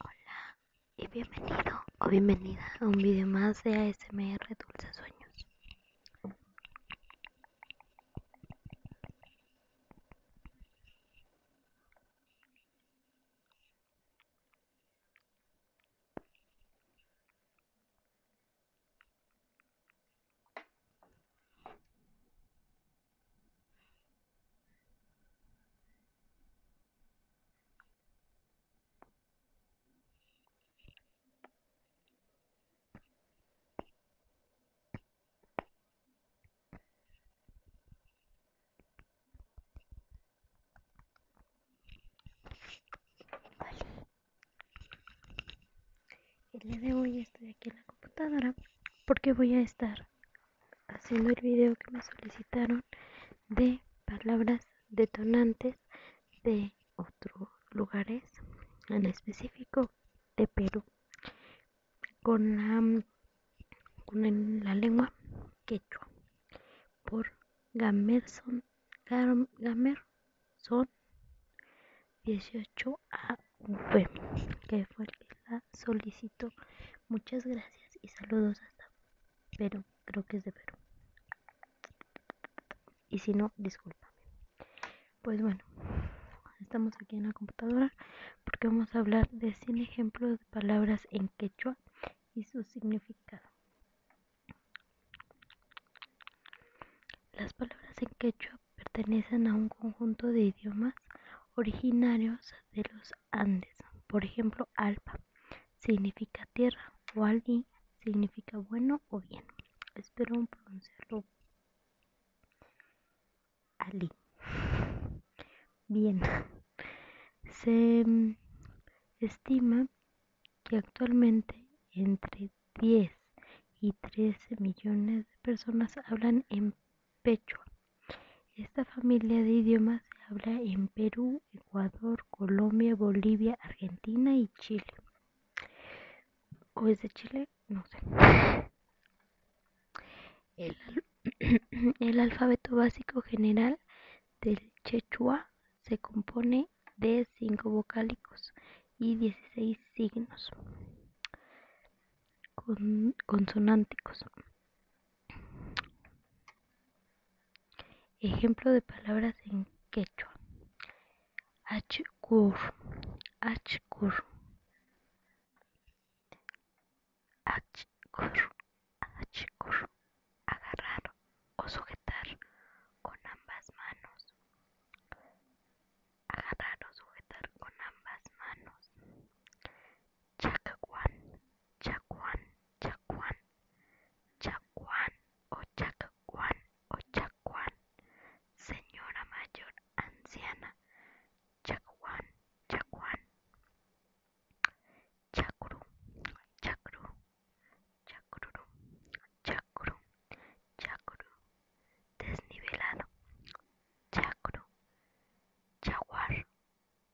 Hola y bienvenido o bienvenida a un video más de ASMR Dulces Sueños. El día de hoy estoy aquí en la computadora porque voy a estar haciendo el video que me solicitaron de palabras detonantes de otros lugares, en específico de Perú, con la, la lengua quechua, por Gamerson, Gamerson 18 a que fue el la solicito, Muchas gracias y saludos hasta pero creo que es de Perú. Y si no, discúlpame. Pues bueno, estamos aquí en la computadora porque vamos a hablar de 100 ejemplos de palabras en quechua y su significado. Las palabras en quechua pertenecen a un conjunto de idiomas originarios de los Andes. Por ejemplo, alpa significa tierra o alguien significa bueno o bien. Espero pronunciarlo. Ali. Bien. Se estima que actualmente entre 10 y 13 millones de personas hablan en Pechua esta familia de idiomas se habla en Perú, Ecuador, Colombia, Bolivia, Argentina y Chile. ¿O es de Chile? No sé. El, alfabeto básico general del Chechua se compone de cinco vocálicos y dieciséis signos consonánticos. Ejemplo de palabras en quechua. Achkur, achkur, achkur, agarrar o sujetar con ambas manos. Agarrar o sujetar con ambas manos. Chacuán, Chacuán, Chacuán o Chacuán o Chacuán, señora mayor anciana, Chacuán, Chacuán, chacurú, chacurú, Chacurú, chacurú, chacurú, desnivelado, chacurú, Chaguar,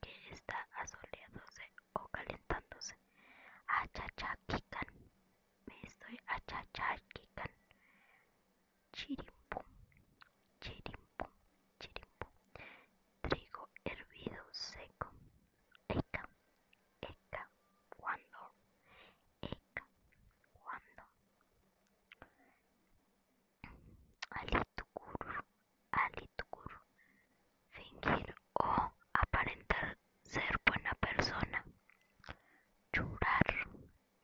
que está asoleándose o calentándose. achachakikan me estoy achachakikan Chirimpum, chirimpum, chirimpum. Trigo hervido seco. Eca, eca, cuando. Eca, cuando. Tukur, Fingir o aparentar ser buena persona. churar,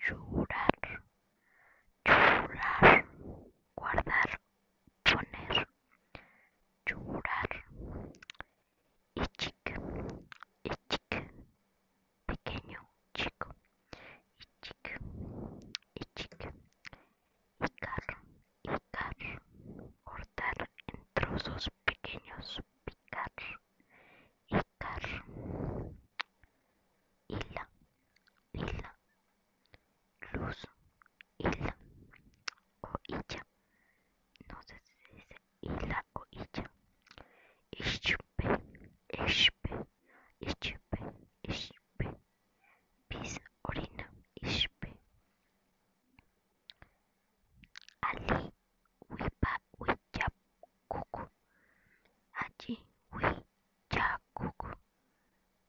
churar, churar, Guardar, poner. churar, Ichik, ichik. Pequeño, chico. y chico picar, picar, cortar en trozos pequeños, picar, picar, hila, hila, luz, hila, o hilla, no sé si se dice hila o hilla, ischipe, ischipe, ischipe, ischipe, pis, orina, ispe. Ali, wipa, ui Allí, cucu.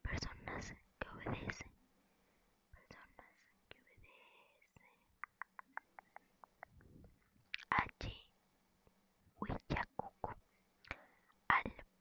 Personas que obedecen. Personas que obedecen. Allí, cucu. Al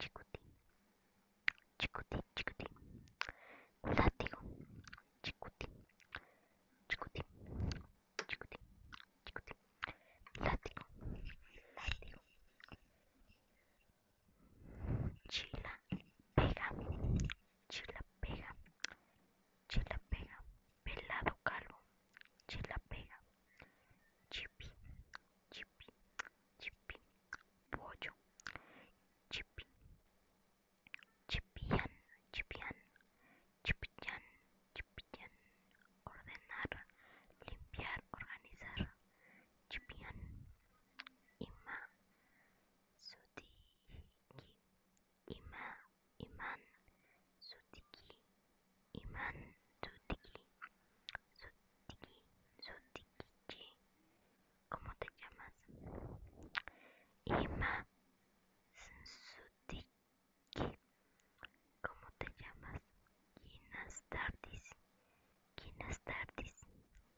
Chicuti Chicuti, chicuti látigo, Chicuti Chicuti Chicuti, látigo, látigo, chila, pega, chila, pega, chila, pega, pelado calvo, chila, pega, chipi, chipi, chipi, pollo, chipi, chipián, chipián, chipián, chipián, ordenar, limpiar, organizar, chipián, ima, suti, ima, Iman. sutiki, Iman Sutiki, Sutiki, Sutikichi, ¿cómo te llamas? Iman Sutiki, ¿cómo te llamas? Buenas tardes, buenas tardes,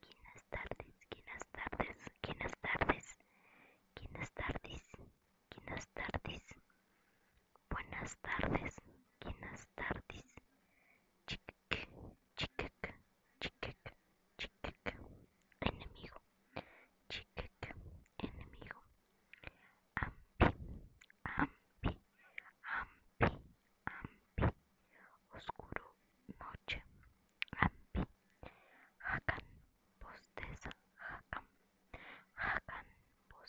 buenas tardes, buenas tardes, buenas tardes, buenas tardes, buenas tardes. Buenas tardes, buenas tardes. Chic, chic, chic, chic, enemigo. Chic, enemigo. Ampi, ampi, ampi, ampi. Oscuro, noche. Ampi. Hakan, posteza, hakan. Hakan,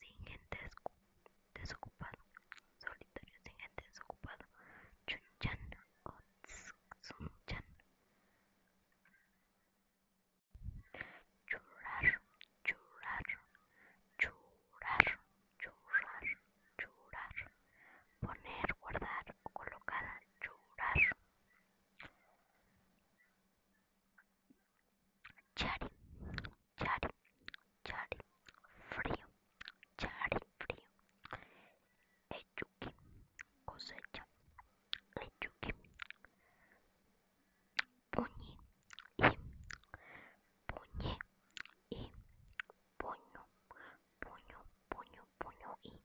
sin gente desocupada, solitario sin gente desocupada, Chunchan o Tsunchan. Churrar, churrar, churrar, churrar, churrar, poner, guardar o colocar, churrar. Chari, chari, chari, frío, chari, frío. Echuki, cosecha, echuki. Puñi, y, puñe, y, puño, puño, puño, puño, y,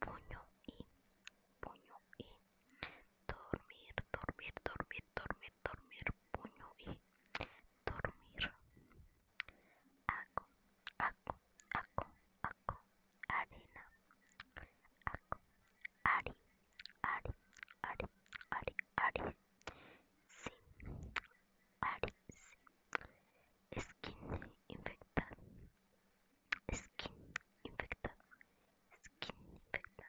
puño, y, puño, y. Dormir, dormir, dormir, dormir, dormir puño y dormir aco aco aco aco arena aco ari ari ari ari ari sí ari sí skin infecta skin infecta skin infecta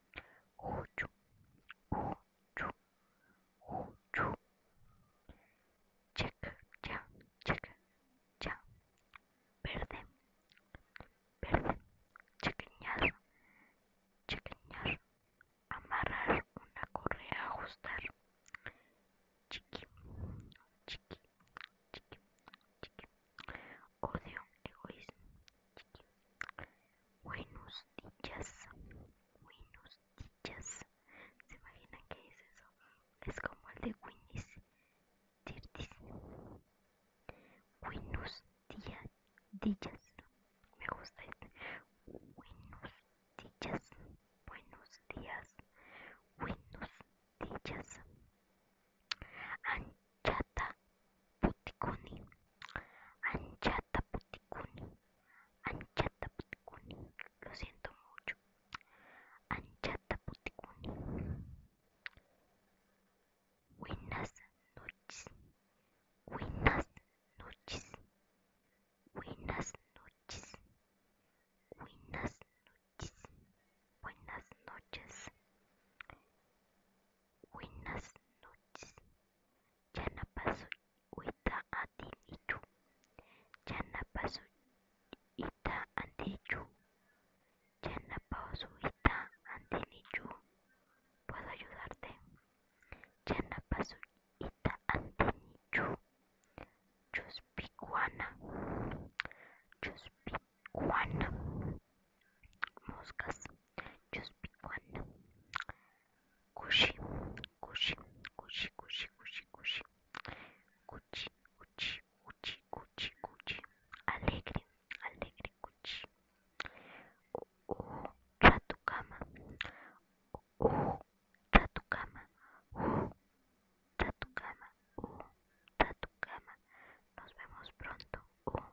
Uchu ocho, ocho. Check, ya, check, ya. Verde, verde. Chequeñar, chequeñar. Amarrar una correa, ajustar. Chiqui, chiqui, chiqui, chiqui. Odio, egoísmo. Chiqui. Buenos días, buenos días. ¿Se imagina qué es eso? Es como el de Winnie's Pooh. Buenos días, días. Me gusta este. Buenos días, buenos días, buenos días. Anchata Puticuni, Anchata Puticuni, Anchata Puticuni, lo siento mucho, Anchata Puticuni. Buenas noches, buenas noches, buenas noches, buenas noches, buenas noches buenas noches. Yana paso ita atin ya Yana paso ita antin ya Yana paso ita antin ¿Puedo ayudarte? Yana paso ita antin ichu. Chuspikuana. Chuspikuana. Moscas. Yo pick one. Alegre, alegre, Oh, oh, Oh, tu Nos vemos pronto. Oh,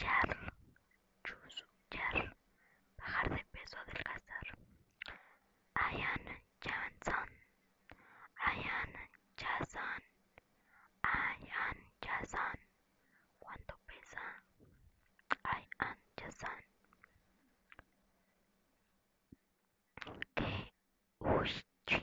Jar, Chus, jar, bajar de peso, adelgazar. Ayan Jason, Ayan Jason, Ayan Jason. ¿Cuánto pesa? Ayan Jason. Que uchi,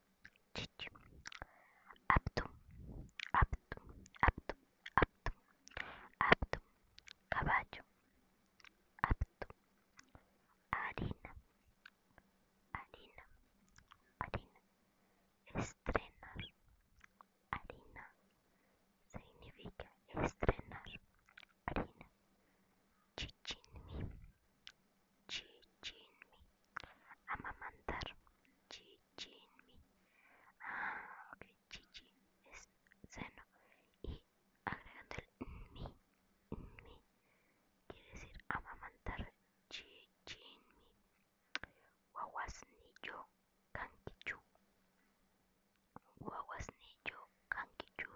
Чичу. Аптум. Аптум. Аптум. Аптум. Аптум. Caballo. Aптум. Harina. Harina. Harina. Estrenar. Harina. Significa estrenar. Harina. Chichinmi. Chichinmi. Amamantar. Chichinmi. Ah, ok. Chichin es seno. Y agregando el mi, mi, quiere decir amamantar. Chichinmi. Guaguasnillo canquichu. Guaguasnillo canquichu.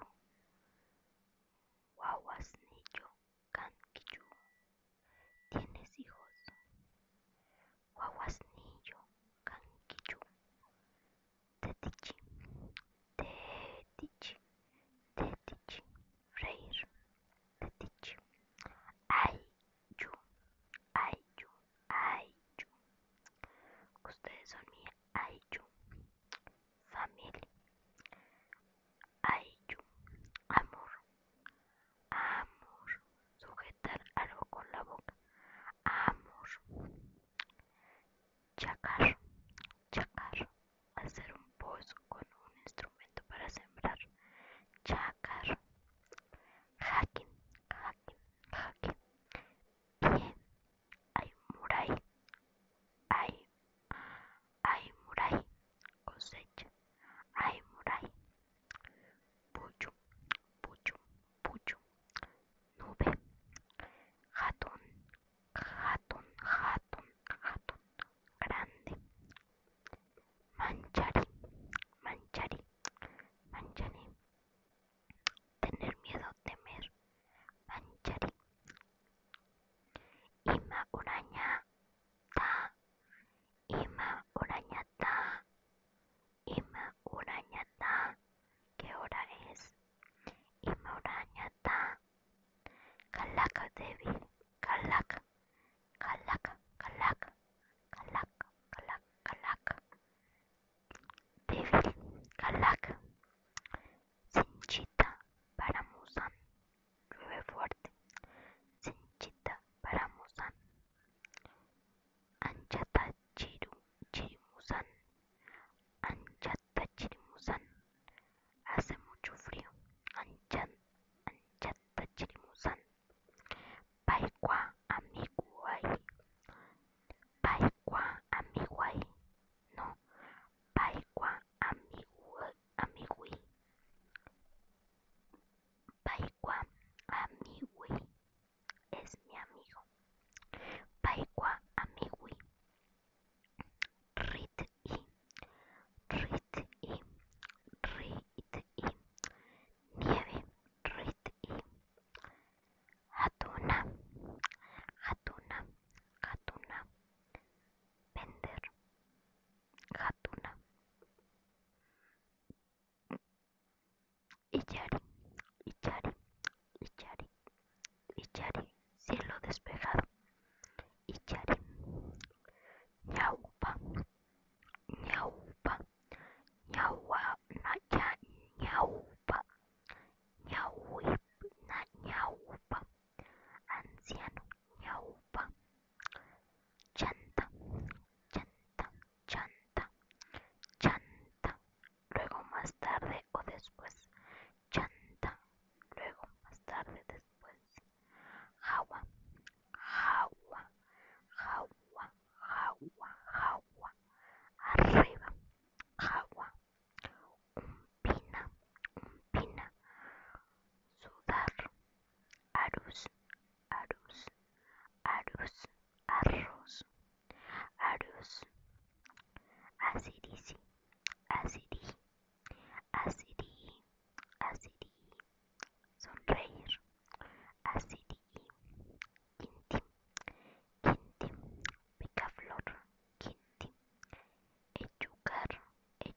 Guaguasnillo Kankiyu. ¿Tienes hijos? Guaguasnillo, Kankiyu. Tetichi, tetichi, tetichi, reír, tetichi. Aychu ayu, ayu. Ustedes son mi ayu. Familia. Ayu, amor, amor, sujetar algo con la boca, amor, chacar, chacar, hacer un pozo con un instrumento para sembrar, chacar, hacking, hacking, hacking, bien, hay muray, hay Ay Murai, cosecha. Ay Murai, pucho, pucho, pucho, nube, jatón, jatón, jatón, jatón, grande, manchari, manchari, manchari, tener miedo, temer, manchari. Ima uraña, Ima Urañata, Ima Urañata, ¿qué hora es? Ima Urañata, Kalaka Devi, calaca, calaca, calaca, calaca, Kalaka, calaca, Sin chita para Paramusan, llueve fuerte, Sinchita para Musan, Anchata Chiru, Chirimusan, Anchata Chirimusan, hace mucho frío, Anchan, Anchata Chirimusan, Paikwa Amiguay, Paikwa Amiguay, no, Paikwa Amiguay, amigui. Paikwa amigui es mi amigo. paikua amigui. Rit i, rit rit Nieve, rit i. atuna atuna hatuna. Vender, Hatuna Ichari, Ichari, Ichari, Ichari, cielo despejado, Ichari, Ñaupa, Ñaupa, Ñaupa Ñaupa Ñaupa, Ñaupa, anciano, ñaupa, chanta, chanta, chanta, chanta, luego más tarde o después, chanta, luego más tarde después, Jawa, agua, agua, agua, agua, arriba, agua, umpina, pina sudar, arus, arus, arus, arroz, arus, asirisi, asiri, asiri, asiri, sonreír, asiri, quintim, quintim, picaflor, quinti, el El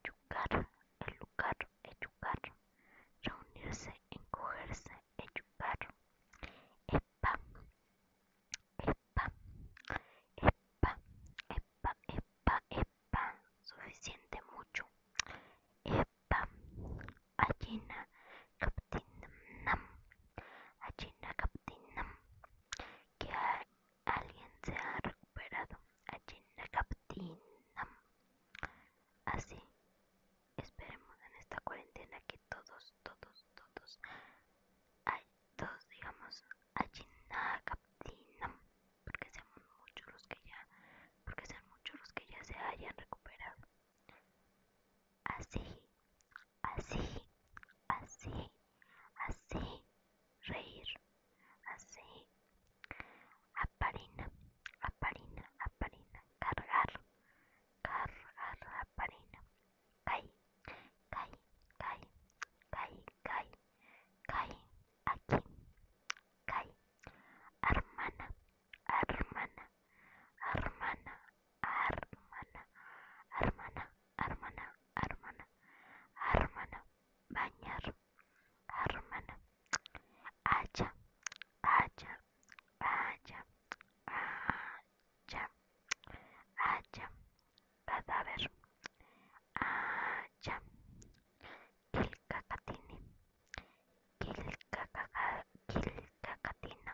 lugar reunirse, encogerse, educar epa, epa, epa, epa, epa, epa, suficiente mucho, epa, allina, captinam, allina captinam, que alguien se ha recuperado allí en captina. Así, esperemos en esta cuarentena que todos, todos, todos, todos digamos allí en la captina, porque sean muchos los que ya, porque sean muchos los que ya se hayan recuperado. Así, así, así así, reír, así, aparina, aparina, aparina, cargar, cargar, aparina, caí, cae cae cae cae caí, aquí, caí, hermana, hermana, hermana, hermana, hermana, hermana, hermana, hermana, bañar, hermana, acha, acha, acha, haya, haya, cadáver, haya, quilcacatini, quilcacatina, quilcacatina.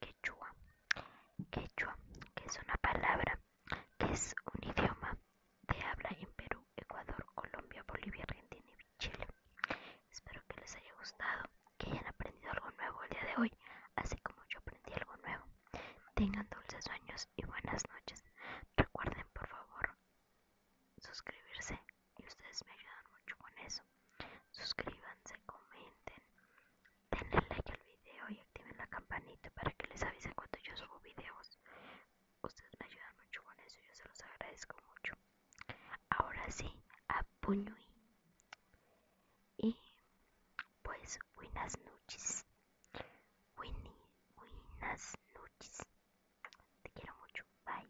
quechua. Quechua, que es una palabra, que es un idioma de habla en Perú, Ecuador, Colombia, Bolivia, Argentina y Chile. Espero que les haya gustado, que hayan aprendido algo nuevo el día de hoy, así como yo aprendí algo nuevo. Tengan dulces sueños y buenas noches. Recuerden, por favor, suscribirse y ustedes me ayudan mucho con eso suscríbanse, comenten, denle like al video y activen la campanita para que les avise cuando yo subo videos. Ustedes me ayudan mucho con eso, yo se los agradezco mucho. Ahora sí, a puño y, pues buenas noches. Winnie, buenas noches. Te quiero mucho. Bye.